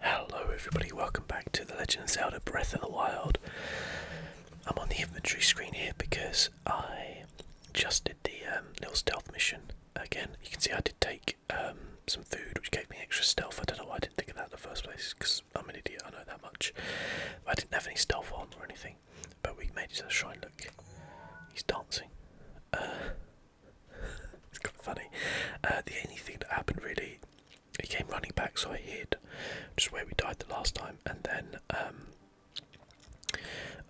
Hello everybody, welcome back to The Legend of Zelda Breath of the Wild. I'm on the inventory screen here because I just did the um, little stealth mission. Again, you can see I did take um, some food which gave me extra stealth. I don't know why I didn't think of that in the first place because I'm an idiot, I know that much. I didn't have any stealth on or anything, but we made it to the shrine. Look, he's dancing. Uh, it's kind of funny. Uh, the only thing that happened really, he came running back, so I hid, just where we died the last time. And then um,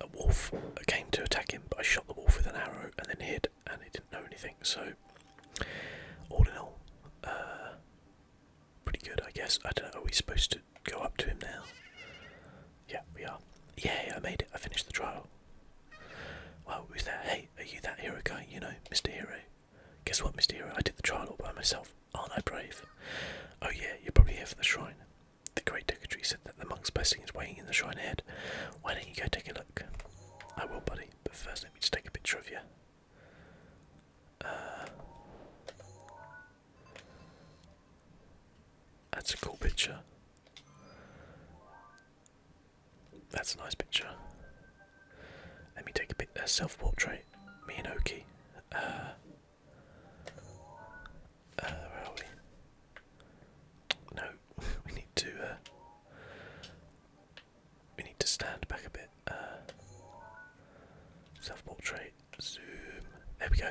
a wolf came to attack him, but I shot the wolf with an arrow and then hid, and he didn't know anything. So all in all, uh, pretty good, I guess. I don't know. Are we supposed to go up to him now? Yeah, we are. Yay! I made it. I finished the trial. Well, who's that? Hey, are you that hero guy? You know, Mr. Hero. Guess what, Mr. Hero? I did the trial all by myself. Aren't I brave? Oh yeah, you're probably here for the shrine. The great dignitary said that the monk's blessing is waiting in the shrine ahead. Why don't you go take a look? I will, buddy. But first, let me just take a picture of you. Uh, that's a cool picture. That's a nice picture. Let me take a bit a self-portrait. Me and Oki. Uh, uh, where are we? No, we need to. Uh, we need to stand back a bit. self-portrait. Zoom. There we go.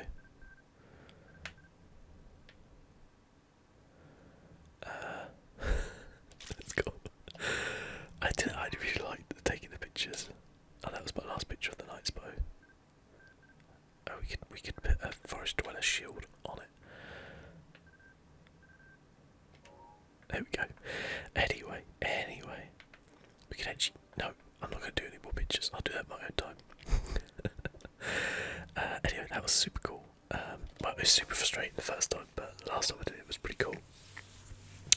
Uh, let's go. I did I really liked taking the pictures, and oh, that was my last picture of the night bow. Oh, we could we could put a forest dweller shield on it. There we go. Anyway, anyway, we can actually. No, I'm not going to do any more pictures. I'll do that my own time. uh, anyway, that was super cool well, um, it was super frustrating the first time, but the last time I did it was pretty cool.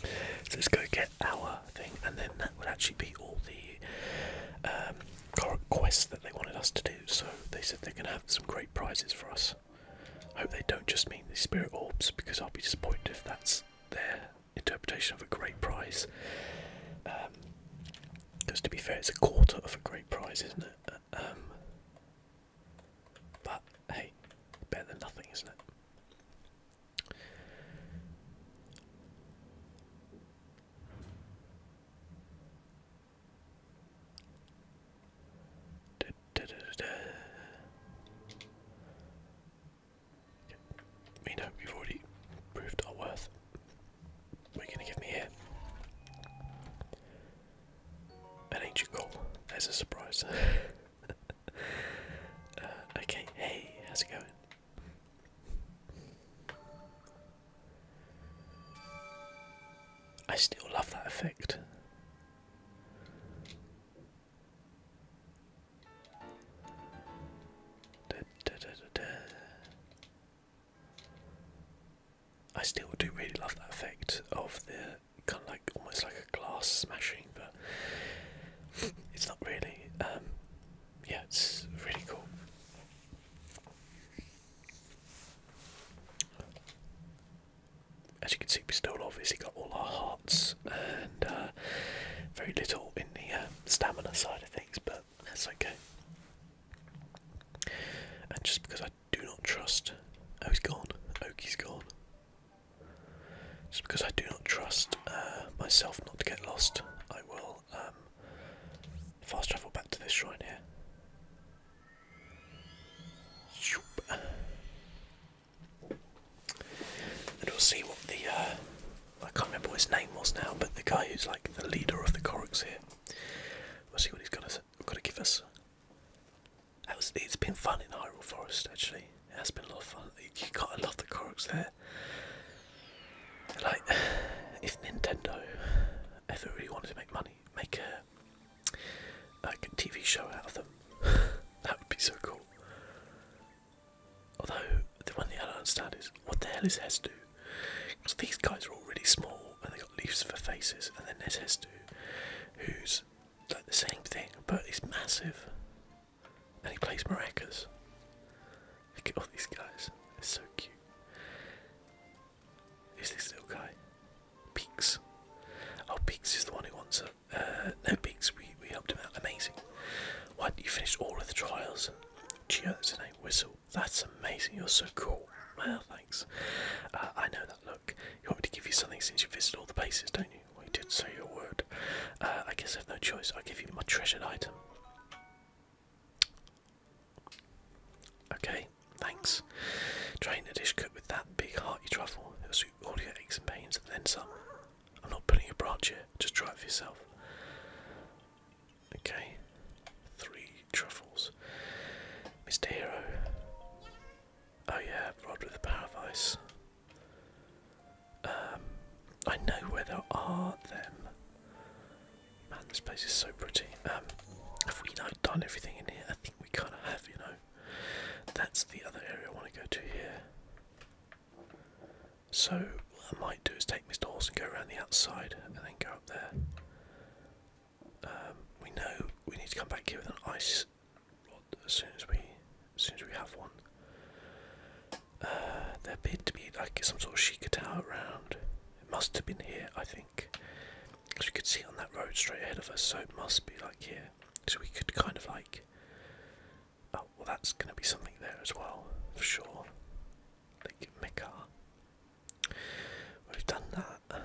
So let's go get our thing, and then that would actually be all the um, quests that they wanted us to do. So they said they're going to have some great prizes for us. I hope they don't just mean the spirit orbs, because I'll be disappointed if that's their interpretation of a great prize. because um, to be fair, it's a quarter of a great prize, isn't it? Uh, um, but hey, better than nothing, isn't it? We know we've already proved our worth. We're gonna give me here an ancient goal as a surprise. Uh, okay, hey, how's it going? I still love that effect. I still do really love that effect of the kind of like almost like a glass smashing, but it's not really. Um, yeah, it's really cool. As you can see, we still obviously got all our hearts and uh, very little in the um, stamina side of things, but that's okay. And just because I do not trust. Oh, he's gone. Oki's gone. Just because I do not trust uh, myself not to get lost, I will um, fast travel back to this shrine here. And we'll see what the, uh, I can't remember his name was now, but the guy who's like the leader of the Koroks here. We'll see what he's got to say gotta give us. it's been fun in Hyrule Forest actually. It has been a lot of fun. You, you gotta love the Koroks there. Like, if Nintendo ever really wanted to make money, make a like TV show out of them, that would be so cool. Although the one thing I don't understand is what the hell is Hess do? Because these guys are all really small and they leaves for faces, and then there's Hestu, who's like the same thing, but he's massive, and he plays maracas. Look at all these guys, they're so cute. Is this little guy? Peeks? Oh, Peeks is the one who wants a. Uh, no, Peeks, we, we helped him out. Amazing. Why did you finish all of the trials? Cheers that's Whistle. That's amazing. You're so cool. Well, thanks. Uh, I know that look. You want me to give you something since you visited all the places, don't you? Well, you did say your word. Uh, I guess I have no choice. I'll give you my treasured item. Okay, thanks. Drain a dish cooked with that big hearty truffle. It'll soothe all your aches and pains and then some. I'm not putting a branch here, just try it for yourself. Okay, three truffles. Mr. Hero, Oh yeah, robbed with the power of ice. Um, I know where there are them. Man, this place is so pretty. Um, have we not done everything in here? I think we kind of have, you know. That's the other area I want to go to here. So what I might do is take Mr. Horse and go around the outside and then go up there. Um, we know we need to come back here with an ice rod as soon as we, as soon as we have one. Uh, there appeared to be like some sort of Sheikah around. It must have been here, I think, because we could see on that road straight ahead of us. So it must be like here. So we could kind of like. Oh well, that's going to be something there as well for sure. Like Mekar. we've done that.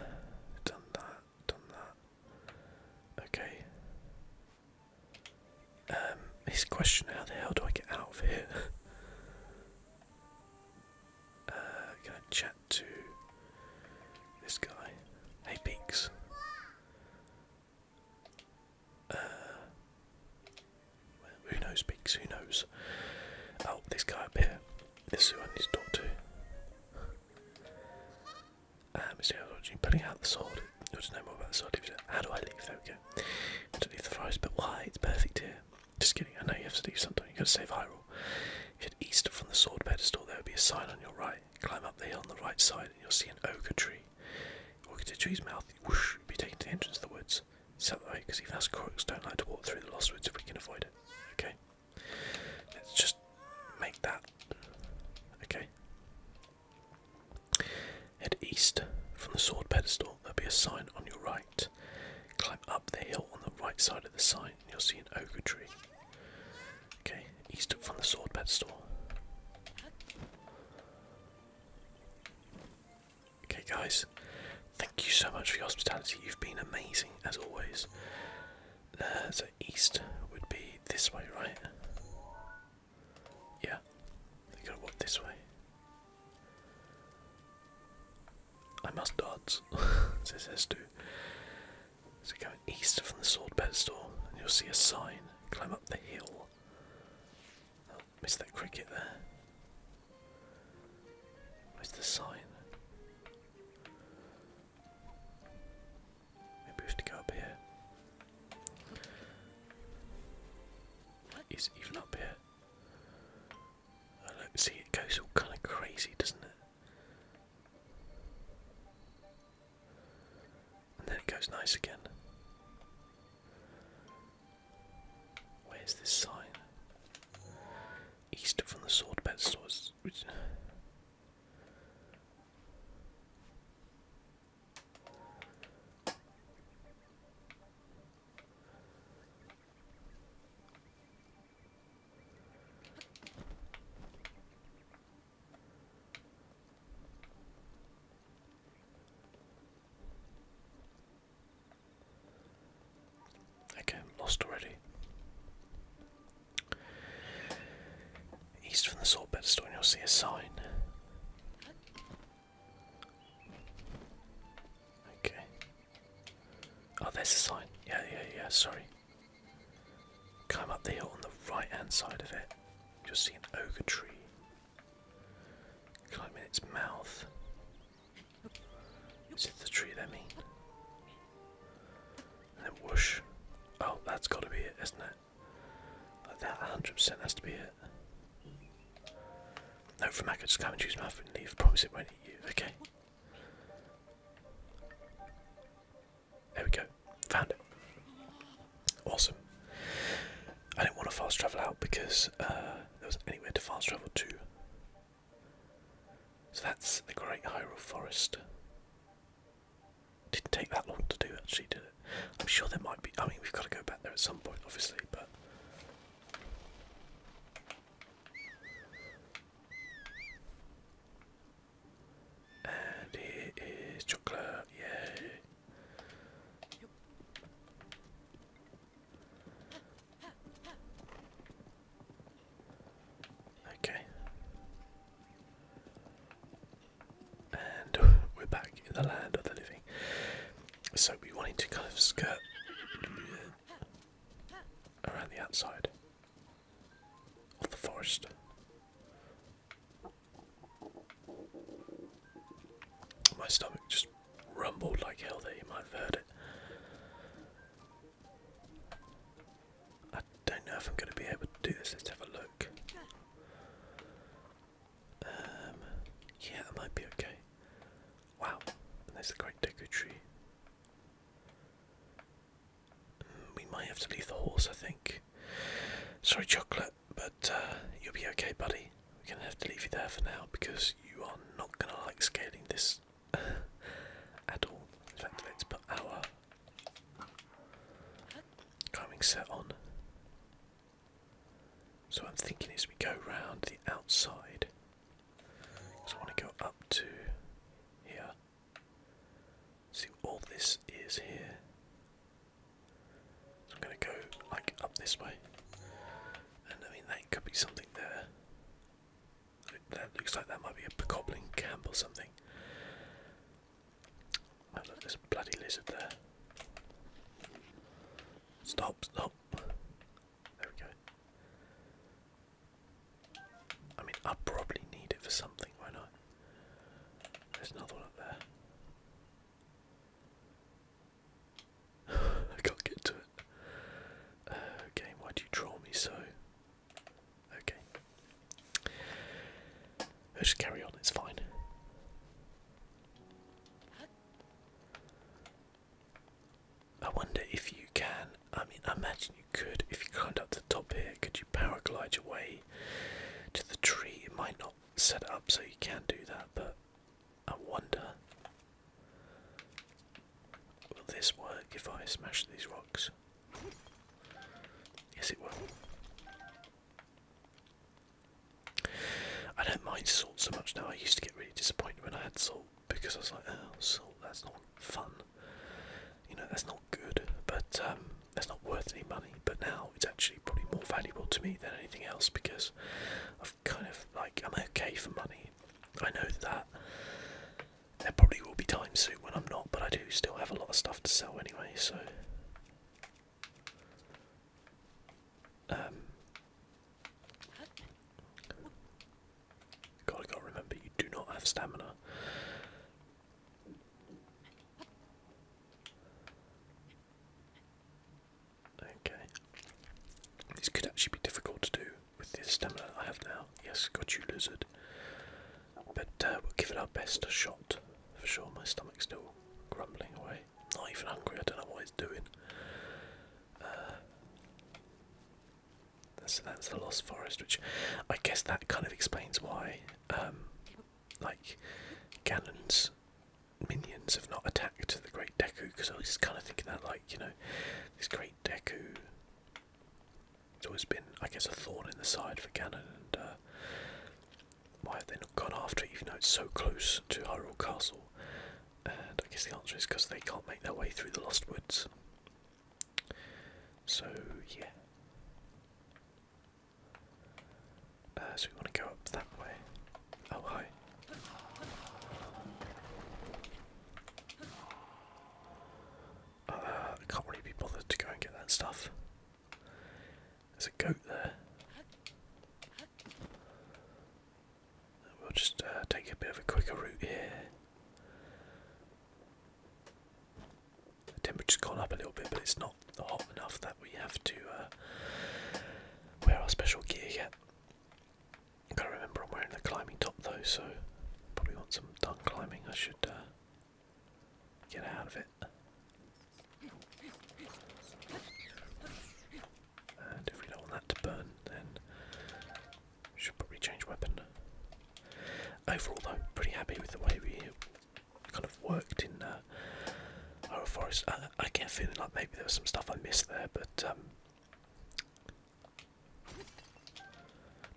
done that done that. Okay. Um, his question: How the hell do I get out of here? uh, chat to this guy. Hey, Beaks. Uh, who knows, Beaks? Who knows? Oh, this guy up here. This is who I need to talk to. Um, so I was watching putting out the sword. You want to know more about the sword? How do I leave? There we go. leave the forest, but why? It's perfect here. Just kidding. I know you have to leave sometime. You got to save Hyrule. If you head east from the sword pedestal, there will be a sign on your right. Climb up the hill on the right side, and you'll see an ogre tree. Ogre tree's mouth. Whoosh! You'll be taken to the entrance of the woods. It's out way, because even us Crocs don't like to walk through the lost woods if we can avoid it. Okay. Let's just make that. Okay. Head east from the sword pedestal. There'll be a sign on your right. Climb up the hill on the right side of the sign, you'll see an oak tree. Okay, east from the sword pedestal. Okay, guys, thank you so much for your hospitality. You've been amazing as always. Uh, so east would be this way, right? Yeah, they gotta walk this way. I must dodge. it says to. So go east from the sword store, and you'll see a sign. Climb up the hill. Oh, missed that cricket there. Where's the sign? Maybe we have to go up here. even up here? see it goes all kind of crazy, doesn't it? And then it goes nice again. Where's this sign? East from the sword bed stores. Okay, I'm lost already. East from the salt bed store, and you'll see a sign. Okay. Oh, there's a sign. Yeah, yeah, yeah. Sorry. Climb up the hill on the right-hand side of it. You'll see an ogre tree. Climb in its mouth. Is it the tree they mean? And then whoosh. Oh, that's got to be it, isn't it? that 100% has to be it. No, from I could just come and choose my food and leave. Promise it won't eat you. Okay. There we go. Found it. Awesome. I didn't want to fast travel out because uh, there was anywhere to fast travel to. So that's the Great Hyrule Forest. Didn't take that long to do, it. actually, did it? I'm sure there might be. I mean, we've got to go back there at some point, obviously, but. And here is chocolate, yay! Okay. And we're back in the land of the living. So we wanted to kind of skirt around the outside of the forest. My stomach just rumbled like hell there, you might have heard it. I don't know if I'm going to be able to do this. Let's have a look. Um, yeah, that might be okay. Wow, there's the great deco tree. Mm, we might have to leave the horse, I think. Sorry, chocolate, but uh, you'll be okay, buddy. We're going to have to leave you there for now because you are not going to like scaling this at all. In fact, let's put our Climbing set on. So I'm thinking as we go round the outside. So I want to go up to here. See all this is here. So I'm gonna go like up this way. And I mean that could be something there. That looks like that might be a goblin camp or something. Oh look, there's a bloody lizard there. Stop, stop. There we go. I mean, i probably need it for something, Why not There's another one up there. I can't get to it. game, uh, why do you draw me so? Okay. Let's just carry on, it's fine. I wonder if you can, I mean, I imagine you could, if you climbed up to the top here, could you paraglide your way to the tree? It might not set up so you can do that, but I wonder. Will this work if I smash these rocks? Yes, it will. I don't mind salt so much now. I used to get really disappointed when I had salt because I was like, oh, salt, that's not fun. You know, that's not good, but um, that's not worth any money. But now it's actually probably more valuable to me than anything else because I've kind of like, I'm okay for money. I know that there probably will be times soon when I'm not, but I do still have a lot of stuff to sell anyway, so. Um, God, gotta remember you do not have stamina. Okay. This could actually be difficult to do with this stamina I have now. Yes, got you, lizard. But uh, we'll give it our best shot for sure. My stomach's still grumbling away. Not even hungry. I don't know what it's doing. Uh, so that's the Lost Forest, which I guess that kind of explains why, um, like, Ganon's minions have not attacked the Great Deku. Because I was kind of thinking that, like, you know, this Great Deku it's always been, I guess, a thorn in the side for Ganon, and uh, why have they not gone after it even though it's so close to Hyrule Castle? And I guess the answer is because they can't make their way through the Lost Woods. So, yeah. Uh, so we want to go up that way. Oh, hi. Uh, I can't really be bothered to go and get that stuff. There's a goat there. We'll just uh, take a bit of a quicker route here. The temperature's gone up a little bit, but it's not hot enough that we have to uh, wear our special gear yet. I've got to remember I'm wearing the climbing top though, so probably once some done climbing, I should uh, get out of it. And if we don't want that to burn, then should probably change weapon. Overall, though, pretty happy with the way we kind of worked in uh, our forest. I get a feeling like maybe there was some stuff I missed there, but um,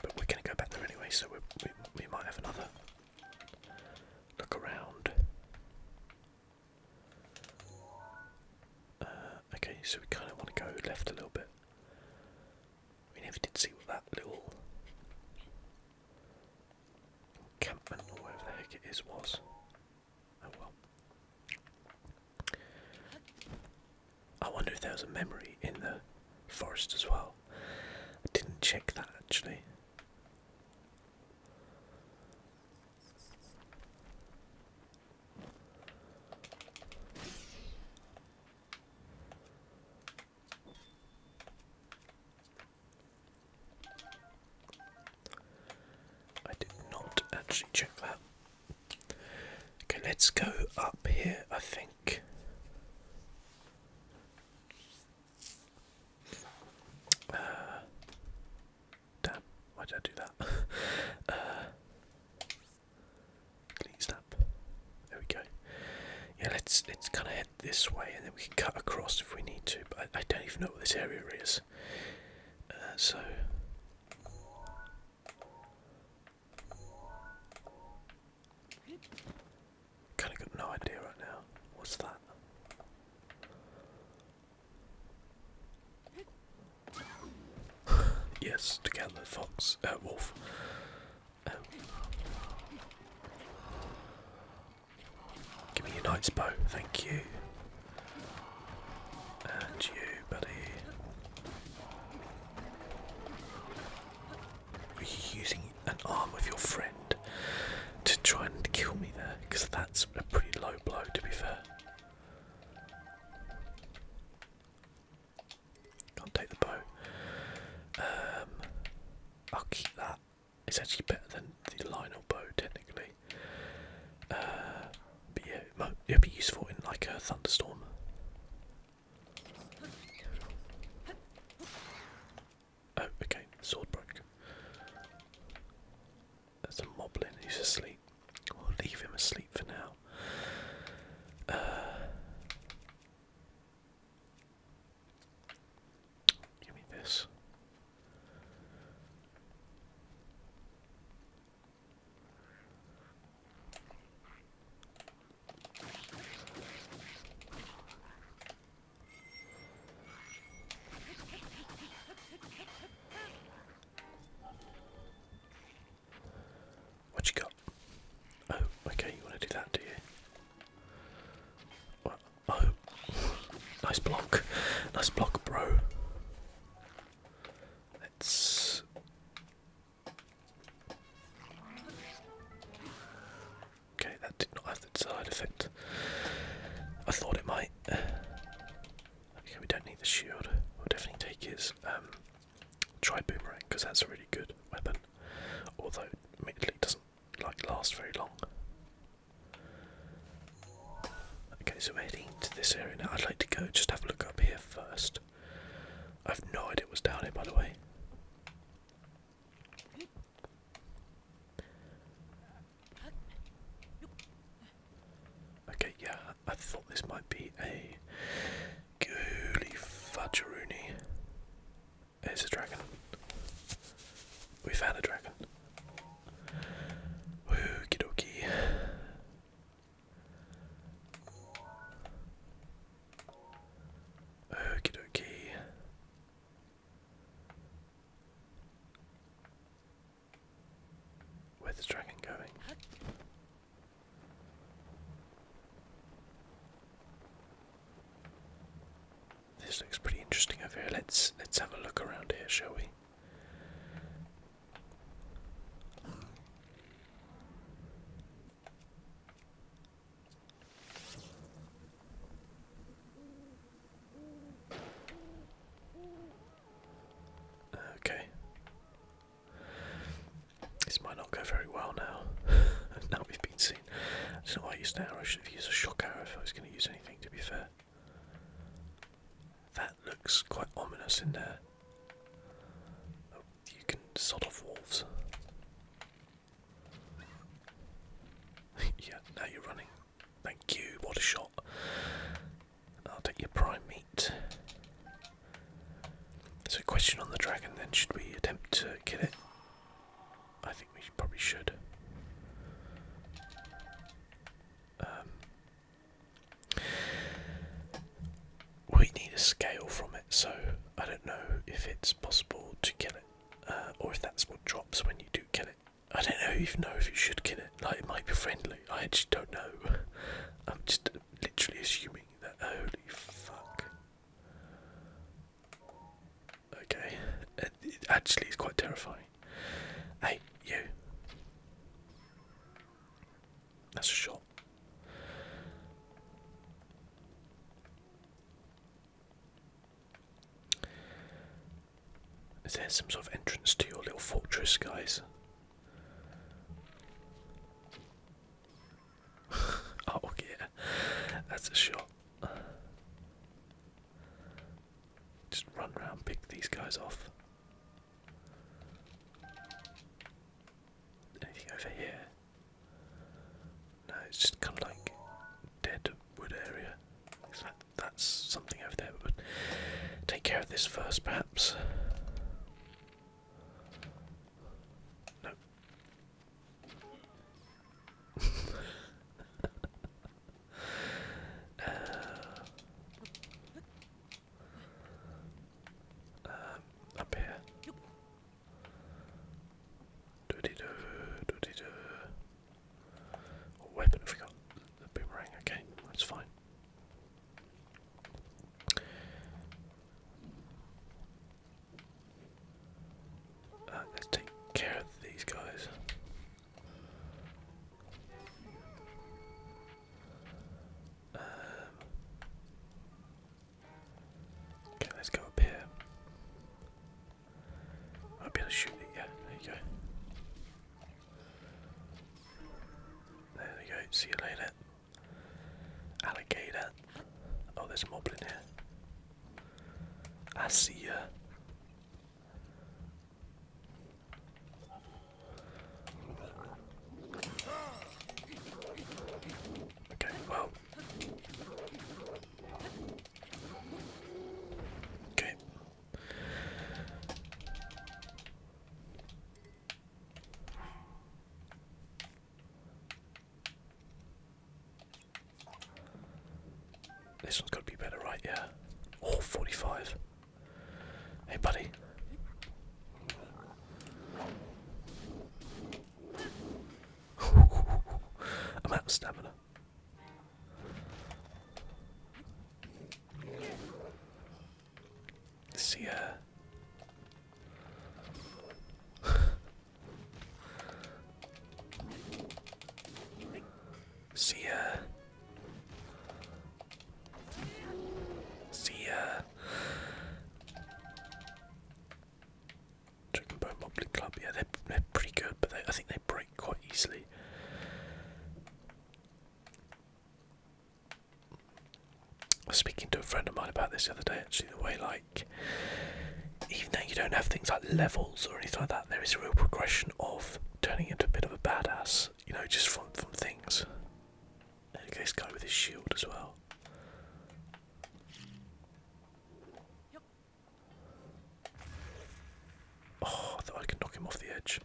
but we're going to go back there anyway, so we we might have another Look around. Uh, okay, so we kind of want to go left a little bit. We never did see what that little encampment or whatever the heck it is was. Oh well. I wonder if there was a memory in the forest as well. I didn't check that actually. I did not actually check that. Okay, let's go up here, I think. Uh, damn, why did I do that? uh, clean There we go. Yeah, let's let's kind of head this way, and then we can cut across if we need to. But I, don't even know what this area is. Uh, so. Kind of got no idea right now. What's that? yes, to gather fox, uh, wolf. Um, give me your knight's thank you. And you, buddy. Were you using an arm of your friend to try and kill me there? Because that's a pretty low blow, to be fair. Can't take the bow. Um, I'll keep that. It's actually better than the Lionel bow, technically. Uh, but yeah, it might, it'll be useful in like a thunderstorm. Oh, okay, sword broke. There's a moblin who's asleep. We'll leave him asleep for now. Uh, give me this. What you got? Oh, okay, you want to do that, do you? oh, nice block, nice block, bro. Let's. Okay, that did not have the desired effect. I thought it might. Okay, we don't need the shield. We'll definitely take his um, tri boomerang because that's a really good weapon. Although, admittedly, doesn't like last very long. Okay, so we're heading to this area now. I'd like to go just have a look up here first. I've no idea what's down here, by the way. Okay, yeah, I thought this might be a Gooly Fudgeroony. It's a dragon. We found a dragon. Okie dokie. Okie dokie. Where's the dragon going? This looks pretty interesting over here. Let's let's have a look around here, shall we? Okay. This might not go very well now. now we've been seen. I I used an arrow. I should have used a shock arrow if I was going to use anything, to be fair. That looks quite ominous in there. Oh, you can sort of wolves. yeah, now you're running. Thank you, what a shot. I'll take your prime meat. So, question on the dragon then should we attempt to kill it? I think we probably should. Um, we need a scale from it, so I don't know if it's possible to kill it, uh, or if that's what drops when you do kill it. I don't know even know if you should kill it. Like it might be friendly. I just don't know. I'm just literally assuming that. Holy fuck. Okay. actually it's quite terrifying. Hey, you. That's a shot. Is there some sort of entrance to your little fortress, guys? oh, yeah, that's a shot. Just run around, pick these guys off. Anything over here? No, it's just kind of like dead wood area that's something over there, but take care of this first, perhaps. No. Uh, um, up here. Do -de -do, do what weapon have we got? The boomerang, okay, that's fine. Uh, let's take care of these guys. Um, okay, let's go up here. I'll be able to shoot it, yeah, there you go. There we go, see you later. Alligator. Oh, there's moblin here. I see ya. Okay, well. Okay, this one's got to be better, right? Yeah. Or 45. Hey, buddy. I'm out of stamina. See ya. See ya. See ya. Dragon Bone Moblin Club. Yeah, they're, they're pretty good, but I think they break quite easily. I was speaking to a friend of mine about this the other day actually, the way like even though you don't have things like levels or anything like that, there is a real progression of turning into a bit of a badass, you know, just from from things. Okay, this guy with his shield as well. Oh, I thought I could knock him off the edge.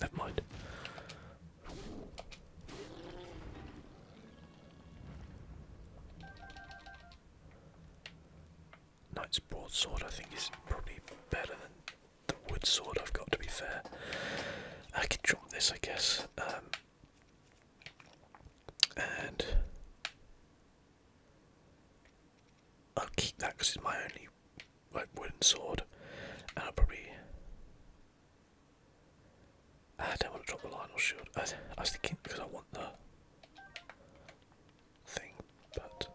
Never mind. Knight's broadsword, I think, is probably better than the wood sword I've got, to be fair. I could drop this, I guess. Um, and I'll keep that because it's my only like wooden sword, and i probably. I don't want to drop the Lionel shield. I, I was thinking because I want the thing, but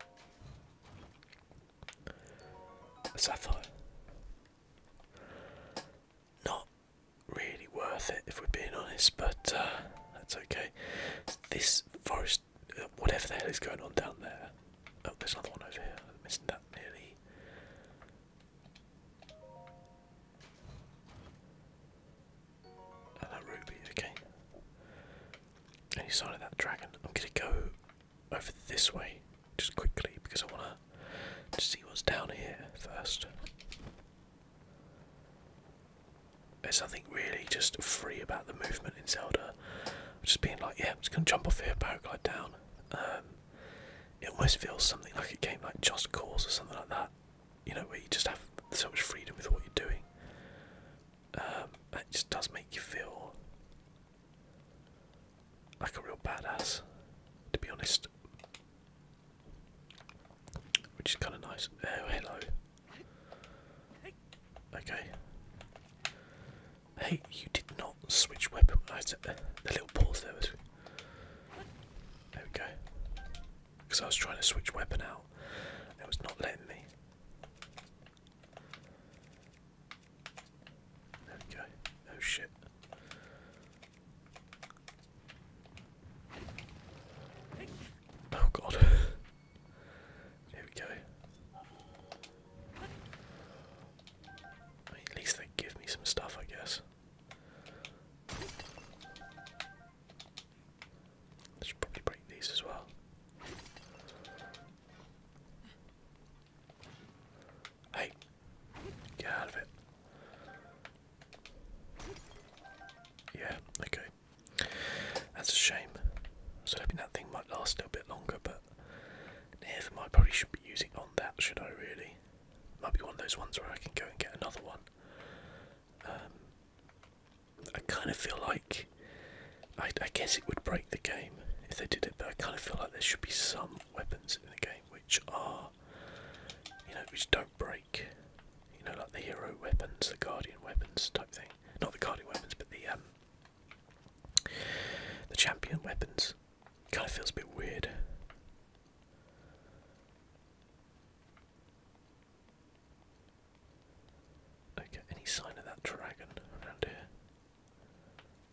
sapphire not really worth it if we're being honest, but uh, that's okay. This forest, uh, whatever the hell is going on down there. Oh, there's another one over here. I'm missing that nearly. And oh, that ruby, okay. Any sign of that dragon? I'm gonna go over this way just quickly because I wanna to see what's down here first. There's something really just free about the movement in Zelda. Just being like, yeah, I'm just gonna jump off here, paraglide down. Um, it almost feels something like a game like Just Cause or something like that. You know, where you just have so much freedom with what you're doing. Um, it just does make you feel like a real badass, to be honest. Which is kind of nice. Oh, hello. Okay. Hey, you did not switch weapon. I the little pause there was. There we go. Because I was trying to switch weapon out, and it was not letting me. There we go. Oh shit. Oh god. Here we go. at least they give me some stuff, I guess. I should probably break these as well. Hey, get out of it. Yeah, okay. That's a shame. So was hoping that thing might last a little bit longer, but never mind. Probably should not be using on that, should I really? Might be one of those ones where I can go and get another one. Um, I kind of feel like. I, I guess it would break the game if they did it, but I kind of feel like there should be some weapons in the game which are, you know, which don't break. You know, like the hero weapons, the guardian weapons type thing. Not the guardian weapons, but the um, the champion weapons. Kind of feels a bit weird. Okay, any sign of that dragon around here?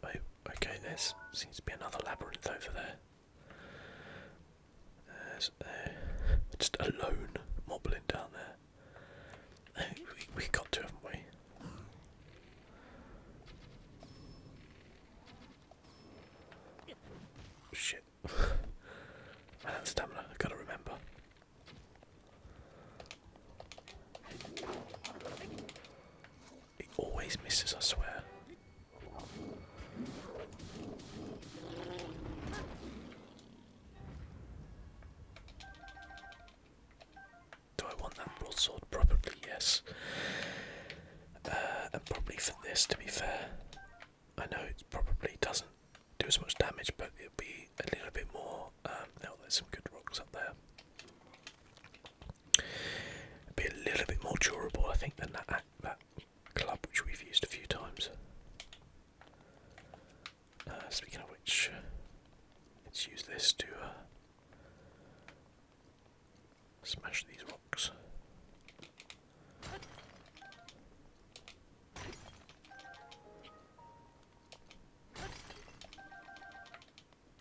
Oh, okay, there seems to be another labyrinth over there. There's just a lone moblin down there. Eh, we, we got to, haven't we? Shit. I have stamina, I've got to remember. He always misses, I swear. Do I want that broadsword? Probably yes. Uh, and probably for this, to be fair. I know it probably doesn't do as much damage, but it'll be a little bit more. Um, now there's some good rocks up there. be a little bit more durable, I think, than that club which we've used a few times. Uh, speaking of which, let's use this to uh, smash these rocks.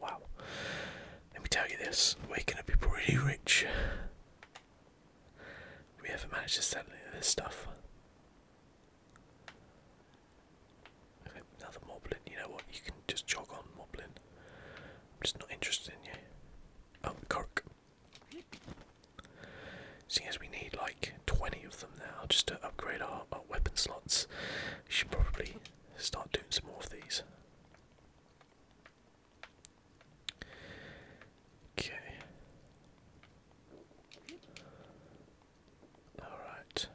Wow. Let me tell you this, we're going to be pretty rich we haven't managed to sell any of this stuff. another moblin. You know what? You can just jog on, moblin. I'm just not interested in you. Oh, cork. Seeing as we need like 20 of them now just to upgrade our weapon slots, we should probably start doing some more of these. Okay. Alright.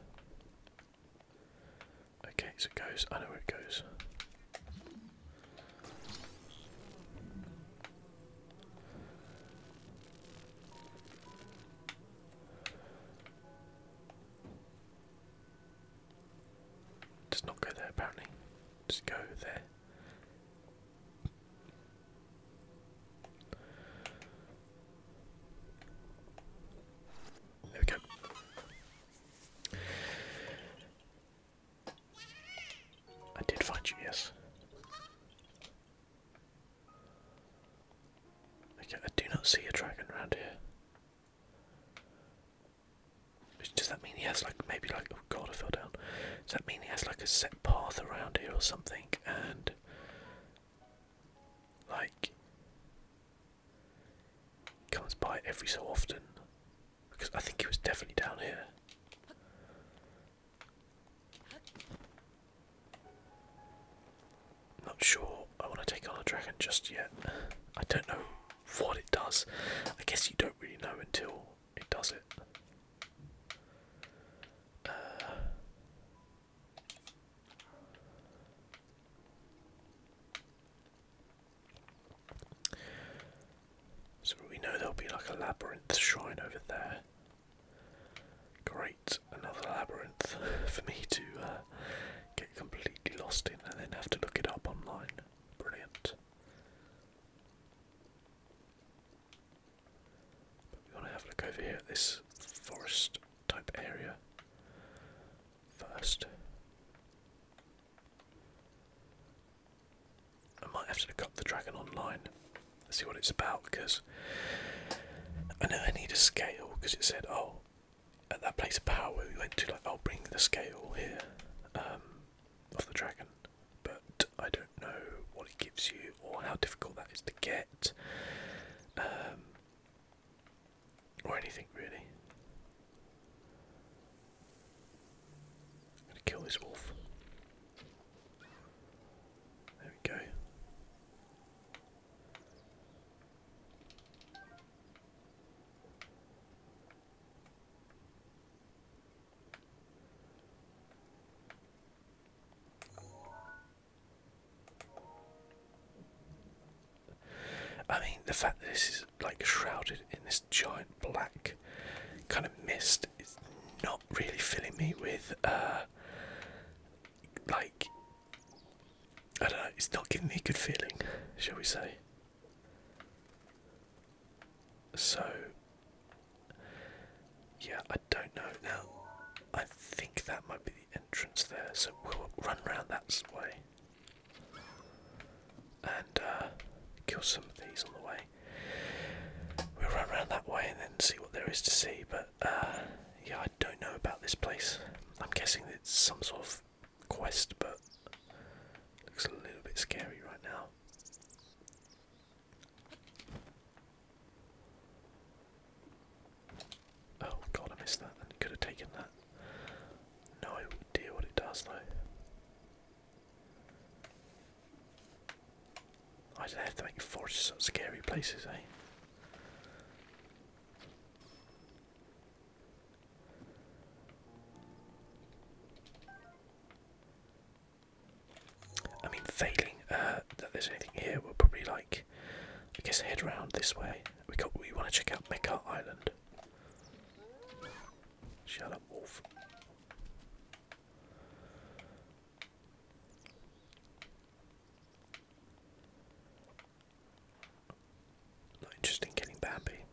Okay, so it goes. I know where it goes. Does not go there apparently. Just go there. There we go. I did find you, yes. Okay, I do not see a dragon around here. Does that mean he has like maybe like oh god I fell down? Does that mean he has like a set path around here or something? And like comes by every so often because I think he was definitely down here. Not sure I want to take on a dragon just yet. I don't know what it does. I guess you don't really know until it does it. Uh. so we know there'll be like a labyrinth shrine over there. Great, another labyrinth for me to uh, get completely lost in and then have to look it up online. Brilliant we want to have a look over here at this forest type area first. I might have to look up the dragon online and see what it's about because I know I need a scale because it said, oh, at that place of power where we went to, like, I'll bring the scale here um, of the dragon but I don't know what it gives you or how difficult that is to get, um, or anything really. I'm gonna kill this wolf. There we go. I mean, the fact that this is like shrouded in this giant black kind of mist is not really filling me with, uh, like, I don't know, it's not giving me a good feeling, shall we say. So, yeah, I don't know. Now, I think that might be the entrance there, so we'll run round that way and uh, kill some of these on the way. We'll run round that way and then see what there is to see, but uh, yeah, I don't know about this place. I'm guessing it's some sort of quest, but looks a little bit scary right now. Oh god, I missed that. could have taken that. No idea what it does though. I did have to make forests such scary places, eh? I mean, failing uh, that there's anything here, we'll probably like, I guess, head round this way. We got. We want to check out Mecca Island. Shut up, wolf. Not interested in getting Bambi.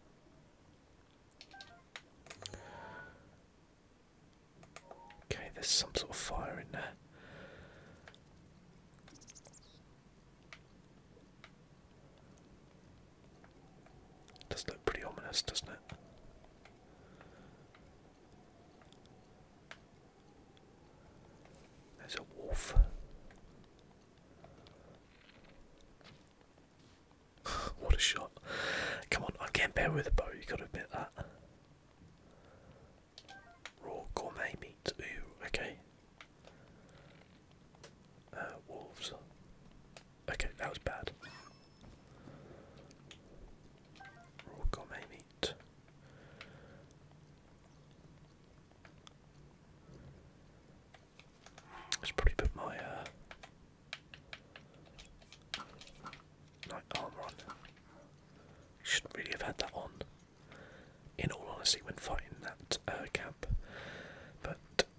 Okay, there's some sort of fire in there. Does look pretty ominous, doesn't it? There's a wolf. what a shot. Come on, i can't bear with a bow, you gotta admit that. Raw gourmet meat, ooh, okay. Uh, wolves. Okay, that was bad. Raw gourmet meat. Let's probably put my uh, Light armor on. Shouldn't really have had that on, in all honesty, when fighting that uh, camp. But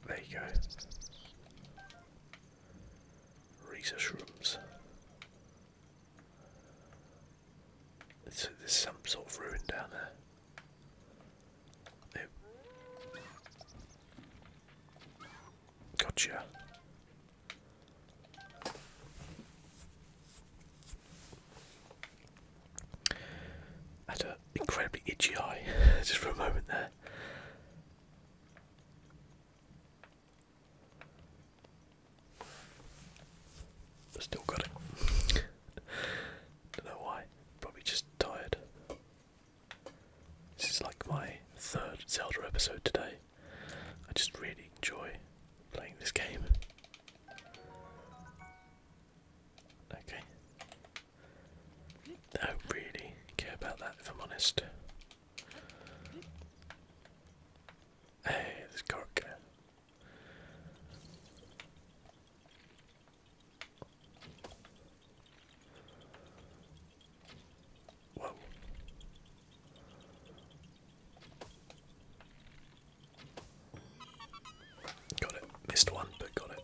there you go. Research rooms. So there's some sort of ruin down there. Gotcha. had an incredibly itchy eye just for a moment there. Still got it. Don't know why. Probably just tired. This is like my third Zelda episode today. I just really enjoy playing this game. Okay. don't really care about that if I'm honest. Hey, there's Korok. Got it. Missed one, but got it.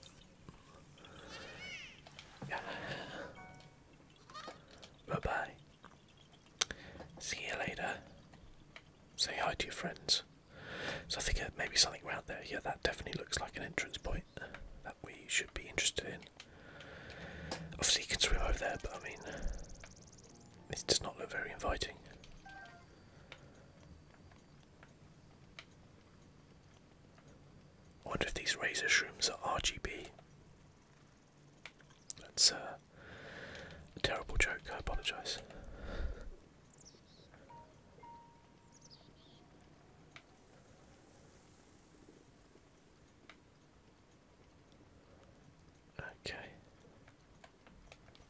Bye bye. See you later. Say hi to your friends. So I think uh, maybe something around there. Yeah, that definitely looks like an entrance point that we should be interested in. Obviously, you can swim over there, but I mean, this does not look very inviting. I wonder if these razor shrooms are RGB. That's uh, a terrible joke, I apologise. Okay.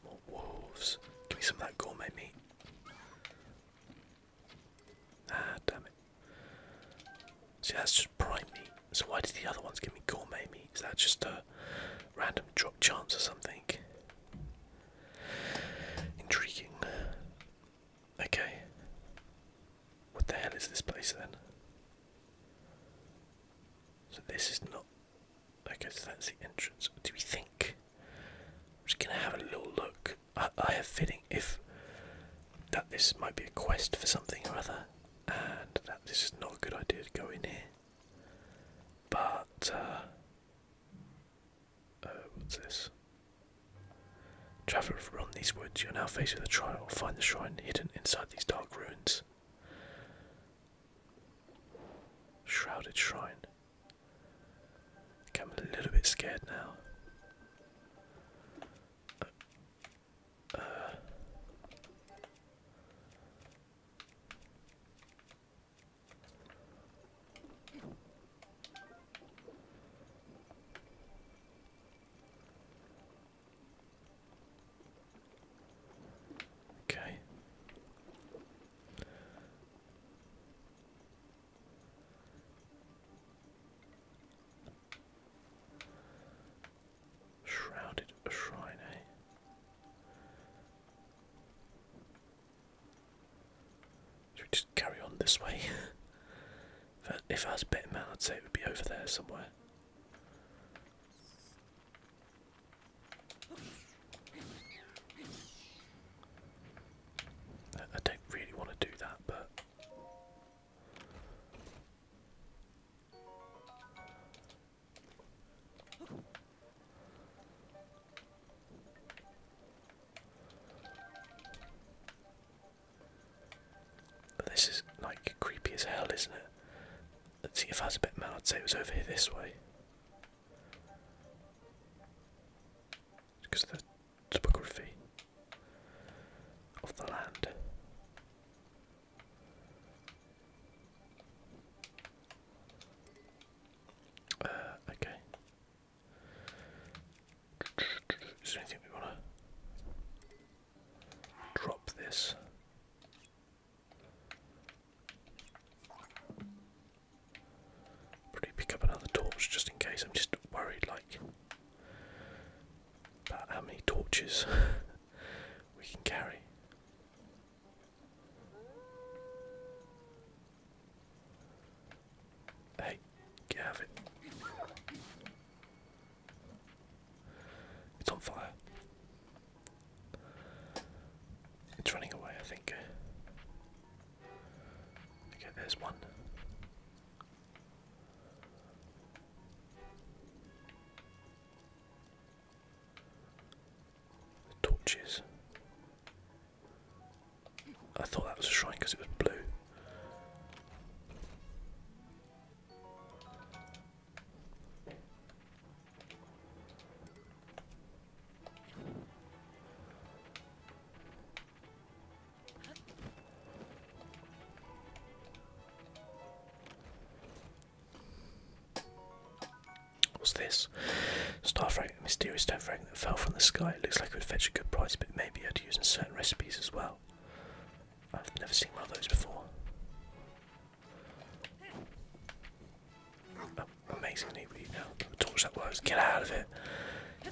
More wolves. Give me some of that gourmet meat. Ah, damn it. See, that's just prime meat. So why did the other ones give me gourmet meat? Is that just a random drop chance or something? Intriguing. Okay. What the hell is this place then? So this is not. Okay, so that's the entrance. What do we think? I'm just gonna have a little look. I, I have feeling if that this might be a quest for something or other, and that this is not a good idea to go in here. But uh, uh, what's this? Traveller from these woods, you are now faced with a trial. Find the shrine hidden inside these dark ruins. Shrouded shrine. I'm a little bit scared now. Uh, uh. Okay. Shrouded shrine, eh? Should we just carry on this way? if I was a betting man, I'd say it would be over there somewhere. I don't really want to do that, but but this is like creepy as hell, isn't it? Let's see if I was a bit man, I'd say it was over here this way. Because the topography of the land. Uh, okay. Is there anything we wanna drop this. Probably pick up another torch just in case. I'm just worried, like, about how many torches we can carry. Hey, get it's on fire. It's running away, I think. Okay, there's one. torches. I thought that was a shrine because it was blue. What's this? Star fragment, mysterious star fragment that fell from the sky. It looks like it would fetch a good price, but maybe I'd use in certain recipes as well. I've never seen one of those before. Oh, amazingly, we now the torch that works. Get out of it!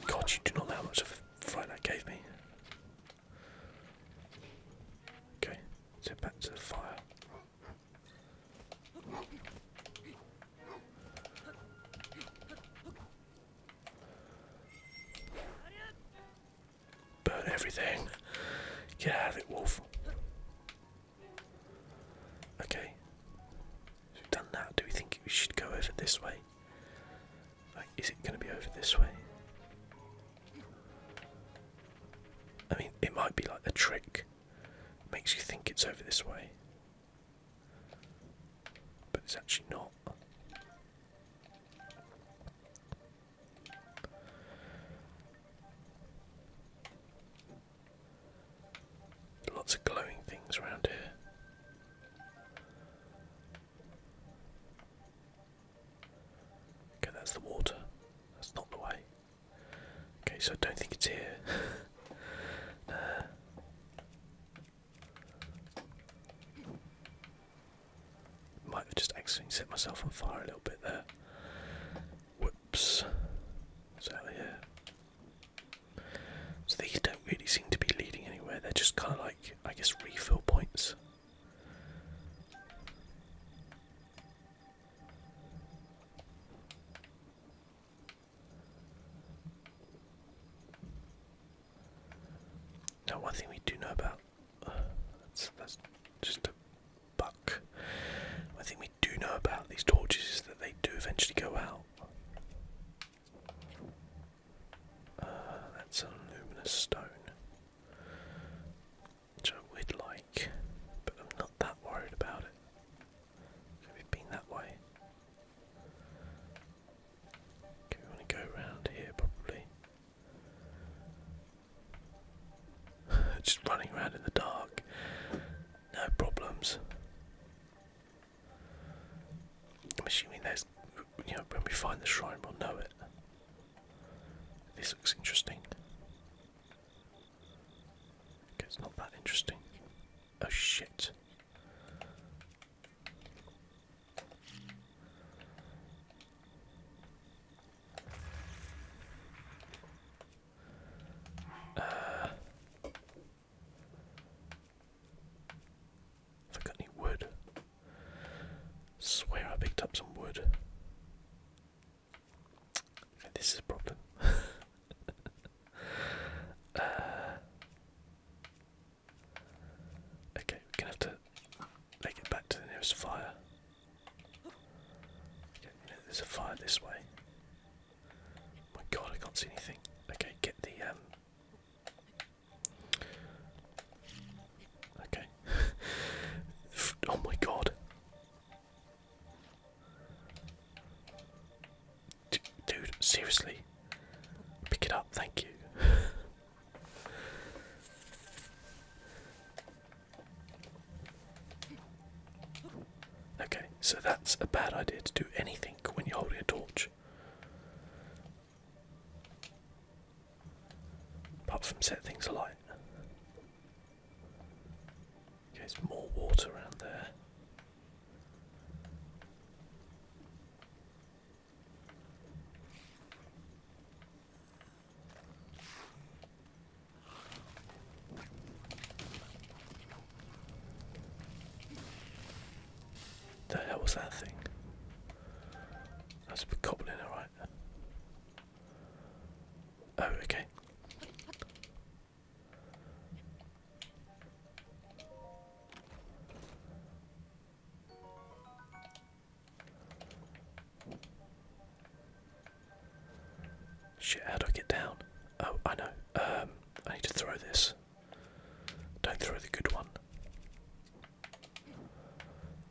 God, you do not know how much of a fright that gave me. Okay, so back to the fire. Burn everything. Get out of it, wolf. Okay. We've done that. Do we think we should go over this way? Like, is it going to be over this way? I mean, it might be like a trick. makes you think it's over this way. But it's actually not. Lots of glowing things around here. Okay, that's the water. That's not the way. Okay, so I don't think it's here. Might have just accidentally set myself on fire a little bit there. Whoops. So Yeah. So these don't really seem to be leading anywhere. They're just kind of like, I guess, refill points. Now, one thing we do know about that's, just a buck. I think we do know about these torches is that they do eventually go out. Uh, that's a luminous stone, which I would like, but I'm not that worried about it. we've been that way. Okay, we go around here probably. Just running around in the dark, no problems. I'm assuming there's, you know, when we find the shrine, we'll know it. This looks interesting. it's not that interesting. Oh shit. Uh, if I got any wood, swear I picked up some wood. this is a problem. Uh, okay, we're gonna have to make it back to the nearest fire. There's a fire this way. My god, I can't see anything. Okay, get the um, Okay. oh my god. dude, seriously. Pick it up, thank you. Okay, so that's a bad idea to do anything when you're holding a torch. Apart from set things alight. Okay, there's more water around there. The hell was that thing? That's a goblin, alright. Oh, okay. Shit, how do I get down? Oh, I know. Um, I need to throw this. Don't throw the good one.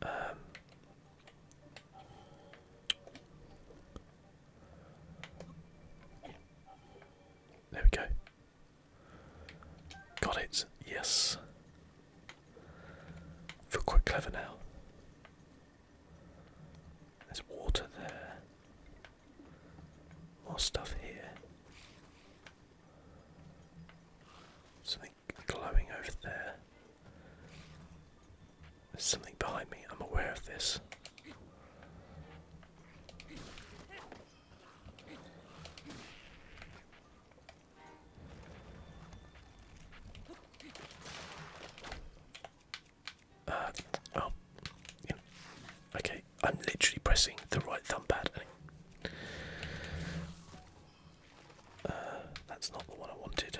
Um, there we go. Got it. Yes. Feel quite clever now. There's water there. More stuff here. Something glowing over there. There's something behind me. I'm aware of this. Uh, oh, okay. I'm literally pressing the right thumb pad. Uh, that's not the one I wanted.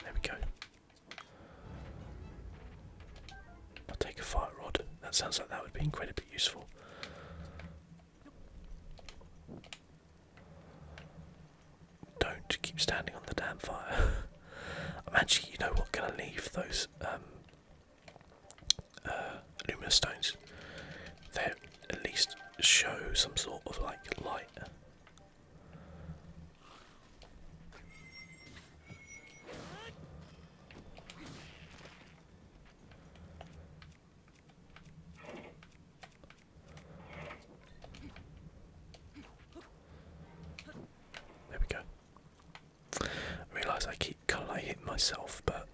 There we go. I'll take a fire rod. That sounds like that would be incredibly useful. Don't keep standing on the damn fire. I'm actually, you know what, gonna leave those um, uh, They at least show some sort of like light. There we go. realise I keep kind of myself, but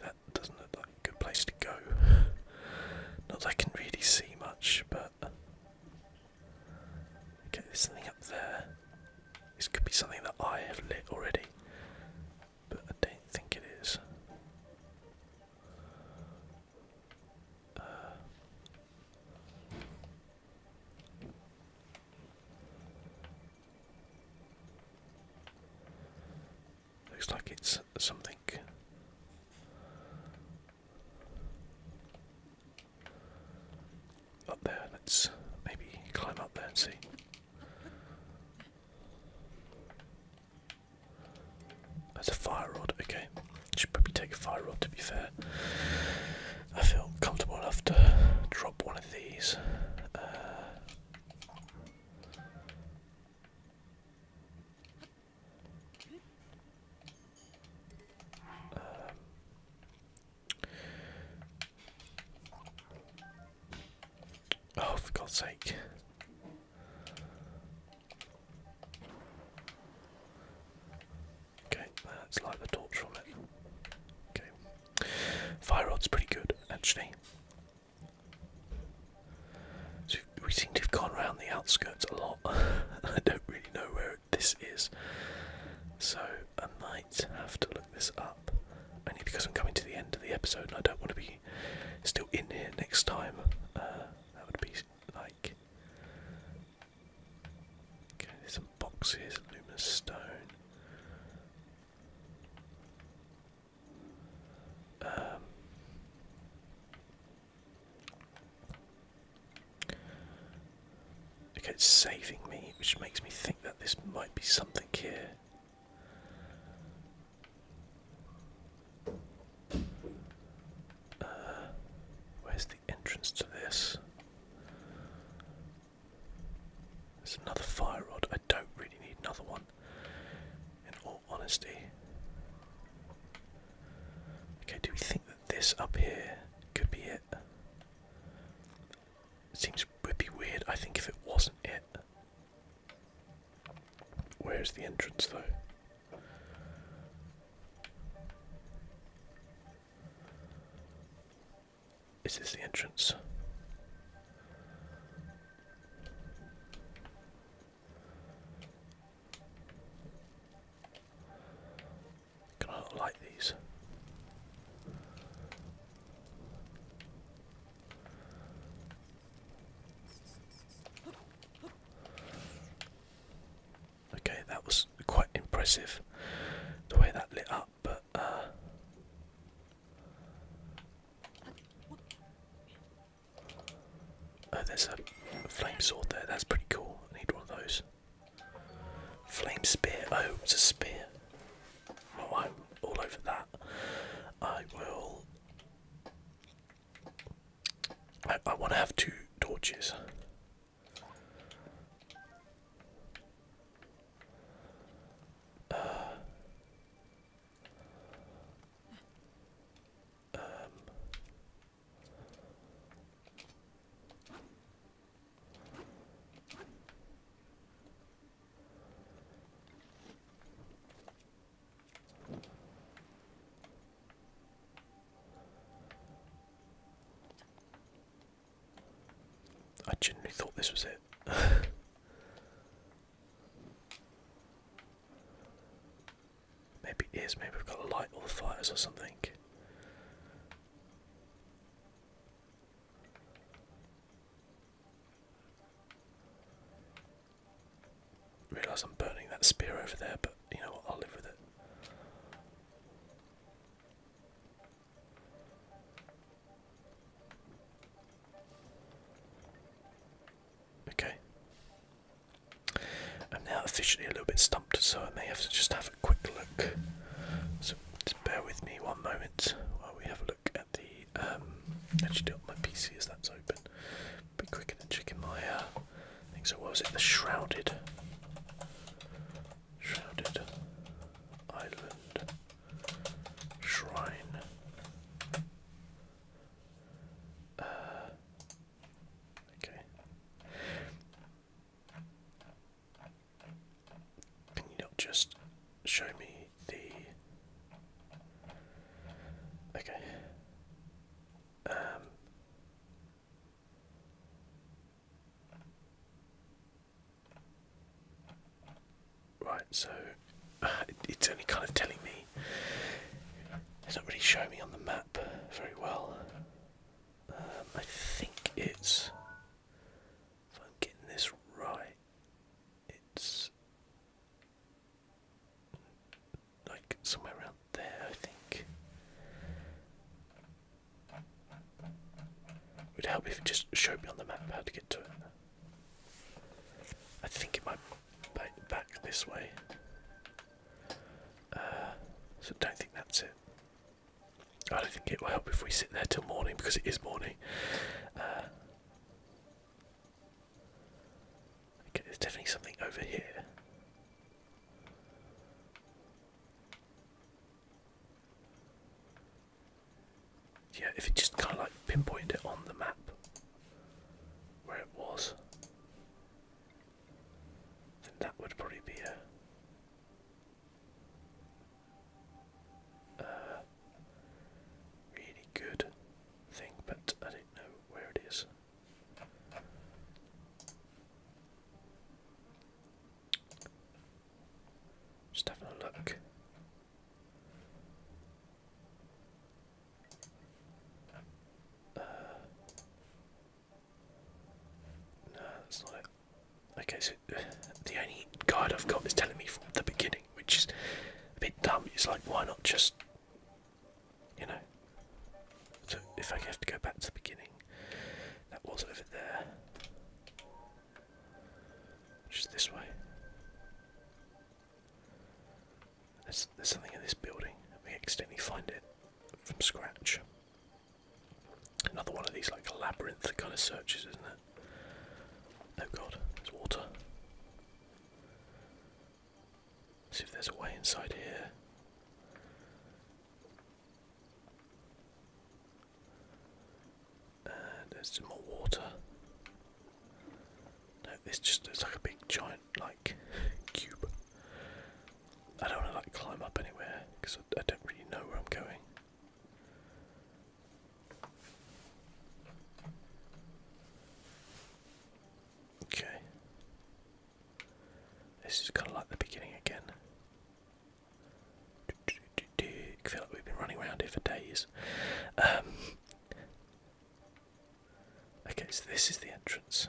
that doesn't look like a good place to go. Not that I can really see much, but okay, there's something up there. This could be something that I have lit already, but I don't think it is. Uh, looks like it's something. Up there, let's maybe climb up there and see. There's a fire rod, okay. Should probably take a fire rod to be fair. I feel comfortable enough to drop one of these. Uh, um, Oh, for God's sake. Okay, let's light torch from it. Okay. Fire rod's pretty good, actually. So we seem to have gone around the outskirts a lot. I don't really know where this is. So I might have to look this up, only because I'm coming to the end of the episode and I don't want to be still in here next time. Uh, that would be like. some boxes, luminous stone. Um, Okay, it's saving me, which makes me think that this might be something here. Uh, where's the entrance to this? There's another fire rod. I don't really need another one, in all honesty. Okay, do we think that this up here could be it? It seems would be weird, I think, if it wasn't it. Where's the entrance though? This Is the entrance? Can I like these? Okay, that was quite impressive the way that lit up, but uh Oh, there's a flame sword there. That's pretty cool. I need one of those. Flame spear. Oh, it's a spear. Well, I'm all over that. I will. I, I want to have two torches. Uh, um, I genuinely thought this was it. maybe it is, maybe we've got a light all the fires or something. Realise I'm burning that spear over there, but you know I'll live with it. Okay. I'm now officially a little bit stumped, so I may have to just have a quick look. Just bear with me one moment while we have a look at the. Um, actually, do it on my PC as that's open. Be quicker than checking my. I uh, think so. What was it? The shrouded, shrouded island shrine. Uh, okay. Can you not just show me the. Okay. Um, right, so uh, it's only kind of telling me. It's not really showing me on the map very well. Um, I think it's if I'm getting this right, it's like somewhere around there, I think. It would help if you just showed me on the map how to get to it. I think it might be back this way. Uh, so don't think that's it. I don't think it will help if we sit there till morning because it is morning. Uh, okay, there's definitely something over here. Yeah, if it just kind of like pinpointed it on the map where it was, then that would probably be a. Uh, really good thing, but I don't know where it is. Just having a look. Uh, no, that's not it. Okay, so uh, the only guide I've got is telling me from the beginning, which is a bit dumb. It's like, why not just, you know? So if I have to go back to the beginning, that was over there. Just this way. There's, there's something in this building. We accidentally find it from scratch. Another one of these like labyrinth kind of searches, isn't it? Oh god, there's water. See if there's a way inside here. And uh, there's some more water. No, this just looks like a big giant like cube. I don't want to like climb up anywhere because I don't really know where I'm going. Okay. This is kind of like the beginning again. I feel like we've been running around here for days. Um, okay, so this is the entrance.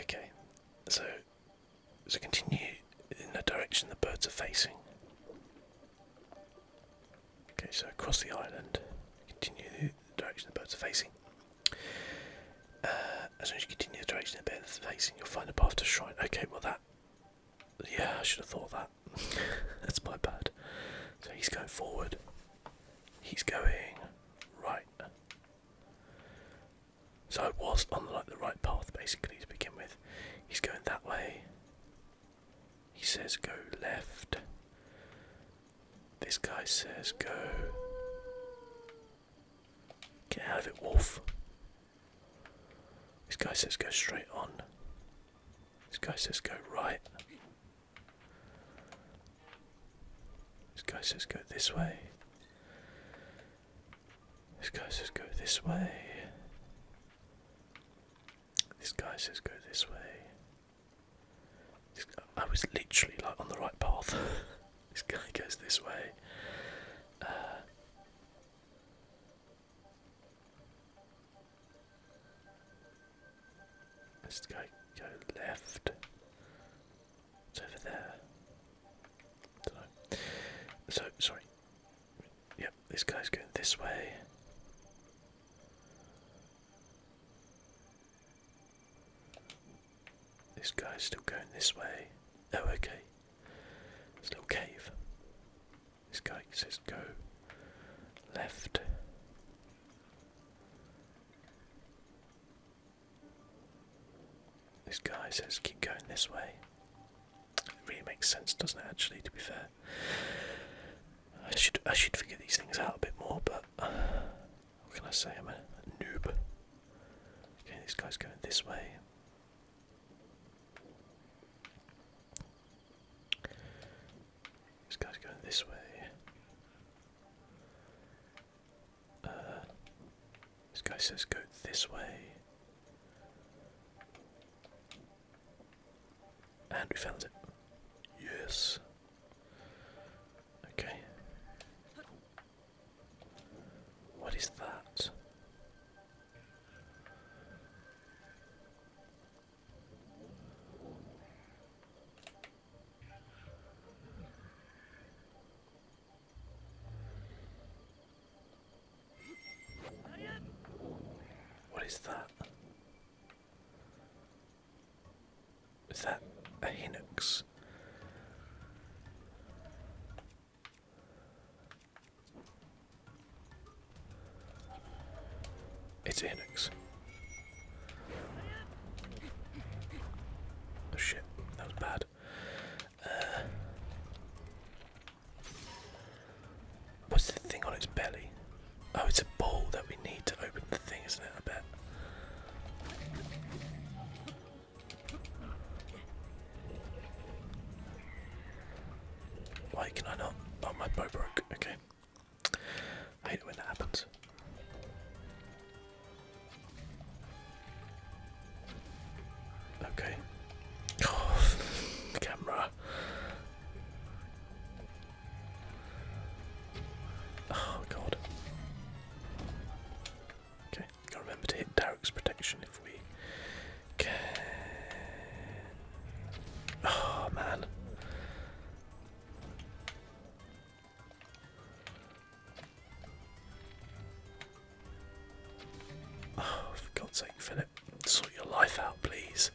Okay, so so continue in the direction the birds are facing. Okay, so across the island, continue the direction the birds are facing. Uh, as soon as you continue the direction the birds are facing, you'll find the path to shrine. Okay, well that. Yeah, I should have thought that. That's my bad. So he's going forward. He's going right. So I was on like the right path basically to begin with. He's going that way. He says go left. This guy says go. Get out of it, wolf. This guy says go straight on. This guy says go right. This guy says go this way. This guy says go this way. This guy says go this way. I was literally like on the right path. this guy goes this way. Uh, this guy go left. It's over there. So sorry. Yep, this guy's going this way. This guy's still going this way. Oh, okay. a little cave. This guy says go left. This guy says keep going this way. It really makes sense, doesn't it? Actually, to be fair, I should I should figure these things out a bit more. But uh, what can I say? I'm a, noob. Okay, this guy's going this way. This guy's going this way. Uh, this guy says go this way. And we found it. Yes. Okay. What is that? What is that? Is that a Hinox? It's a Hinox. Oh, shit, that was bad. Uh, what's the thing on its belly? Oh, it's a ball that we need to open the thing, isn't it? I bet. Why can I not? Oh, my bow broke. Okay. hate when that happens. Okay. Oh, camera. Oh god. Okay, gotta remember to hit Derek's protection if we Okay. Oh ah, man. Oh, for God's sake, Philip, sort your life out, please.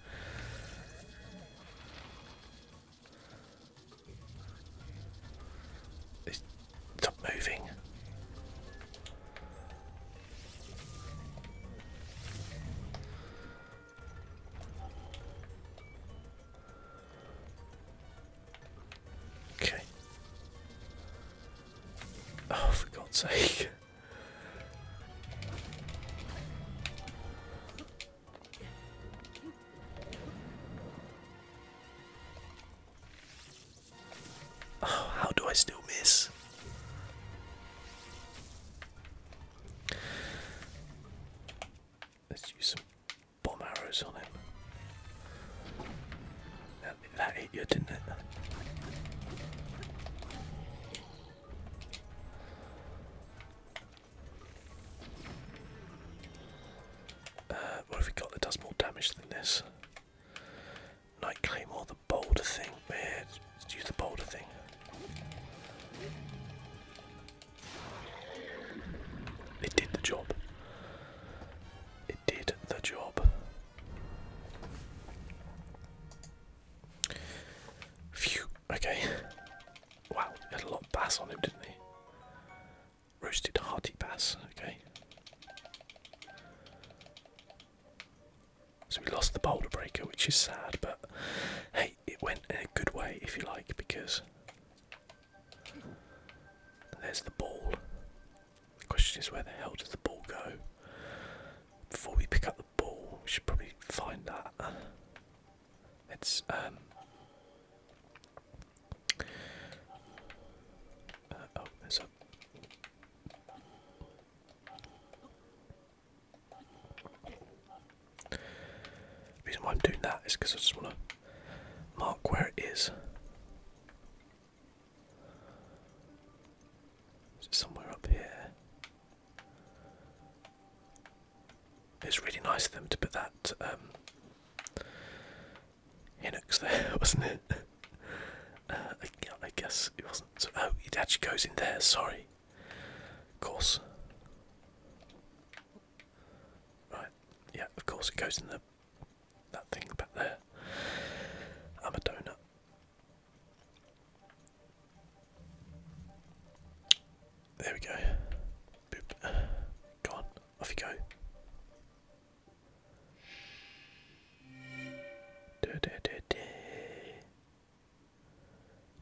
Stop moving. Okay. Oh, for God's sake. Oh, how do I still miss? Let's use some bomb arrows on him that hit you, didn't it? what have we got that does more damage than this? Night the boulder thing. Where yeah, use the boulder thing. It did the job. It did the job. Phew, okay. Wow, he had a lot of bass on him, didn't he? Roasted hearty bass, okay. So we lost the boulder breaker, which is sad, but hey, it went in a good way, if you like, because. there's the ball. The question is where the hell did the ball go? Before we pick up the ball, we should probably find that. It's um uh, oh, mess up. the reason why I'm doing that is because I just want to mark where it is. Is it somewhere up here? It's really nice of them to put that um, there, wasn't it? uh, I, guess it wasn't. oh, it actually goes in there, sorry. Of course. Right, yeah, of course it goes in the that thing back there. I'm a donut. There we go. Go on, off you go.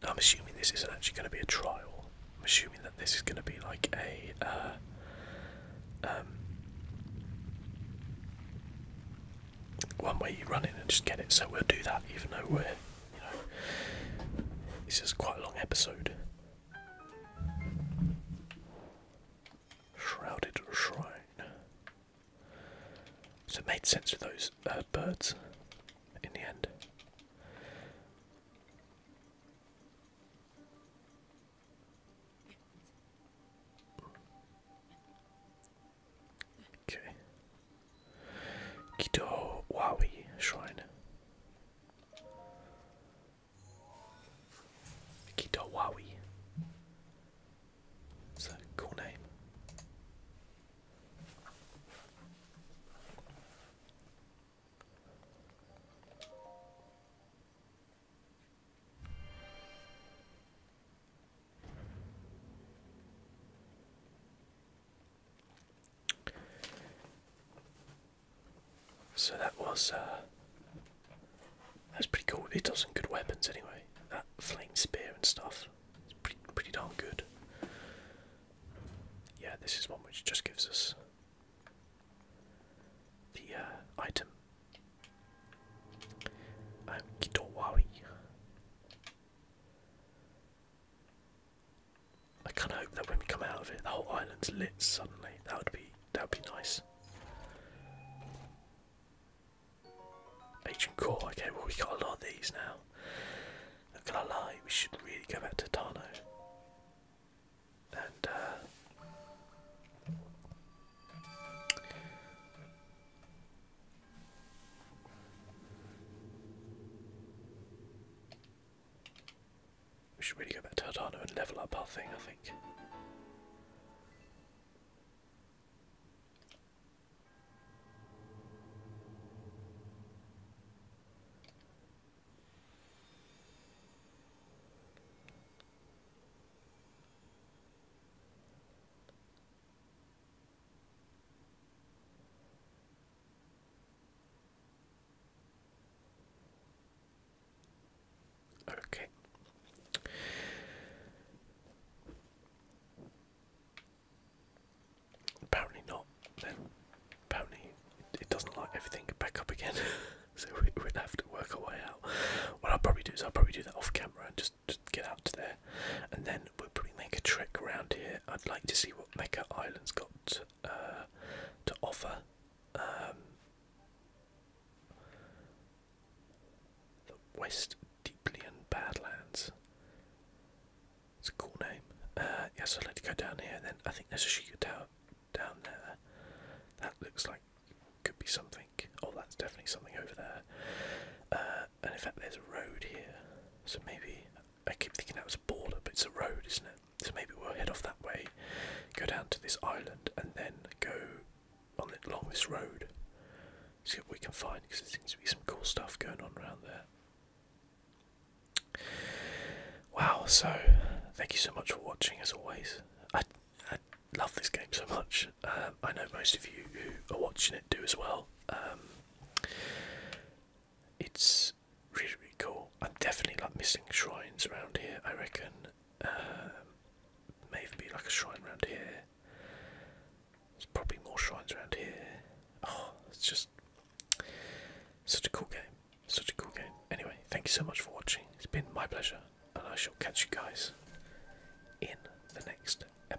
I'm assuming this isn't actually going to be a trial. I'm assuming that this is going to be like a, uh, um, one way you run in and just get it. So we'll do that, even though we're, you know, this is quite a long episode. Shrouded Shrine. So it made sense with those uh, birds in the end. Okay. Kido Shrine. Kido It's a cool name. So that was uh, that's pretty cool. It does some good weapons anyway. That flame spear and stuff. It's pretty pretty darn good. Yeah, this is one which just gives us the uh, item. Um, Kitowawi. I kind of hope that when we come out of it, the whole island's lit suddenly. That would be that would be nice. Ancient core. Okay, well we have got a lot of these now. Not gonna lie, we should really go back to Tano. And uh, we should really go back to Hardano and level up our thing, I think. Okay. Apparently not. apparently it doesn't like everything back up again, so we, would have to work our way out. What I'll probably do is I'll probably do that off camera and just get out to there, and then we'll probably make a trek around here. I'd like to see what Mecca Island's got to uh, offer. Um, the West Deeplian Badlands. It's a cool name. Uh, yes, I'd like to go down here. And then I think there's a Shiga Tower down there. That looks like could be something. Oh, that's definitely something over there. Uh, and in fact there's a road here, so maybe I keep thinking that was a border, but it's a road, isn't it? So maybe we'll head off that way, go down to this island, and then go on along this road. See what we can find, because there seems to be some cool stuff going on around there. Wow! So, thank you so much for watching. As always, I I love this game so much. Um, I know most of you who are watching it do as well. Um, it's really, really cool. I'm definitely like missing shrines around here. I reckon um, maybe like a shrine around here. There's probably more shrines around here. Oh, it's just such a cool game. Such a cool game. Anyway, thank you so much for watching. It's been my pleasure, and I shall catch you guys in the next episode.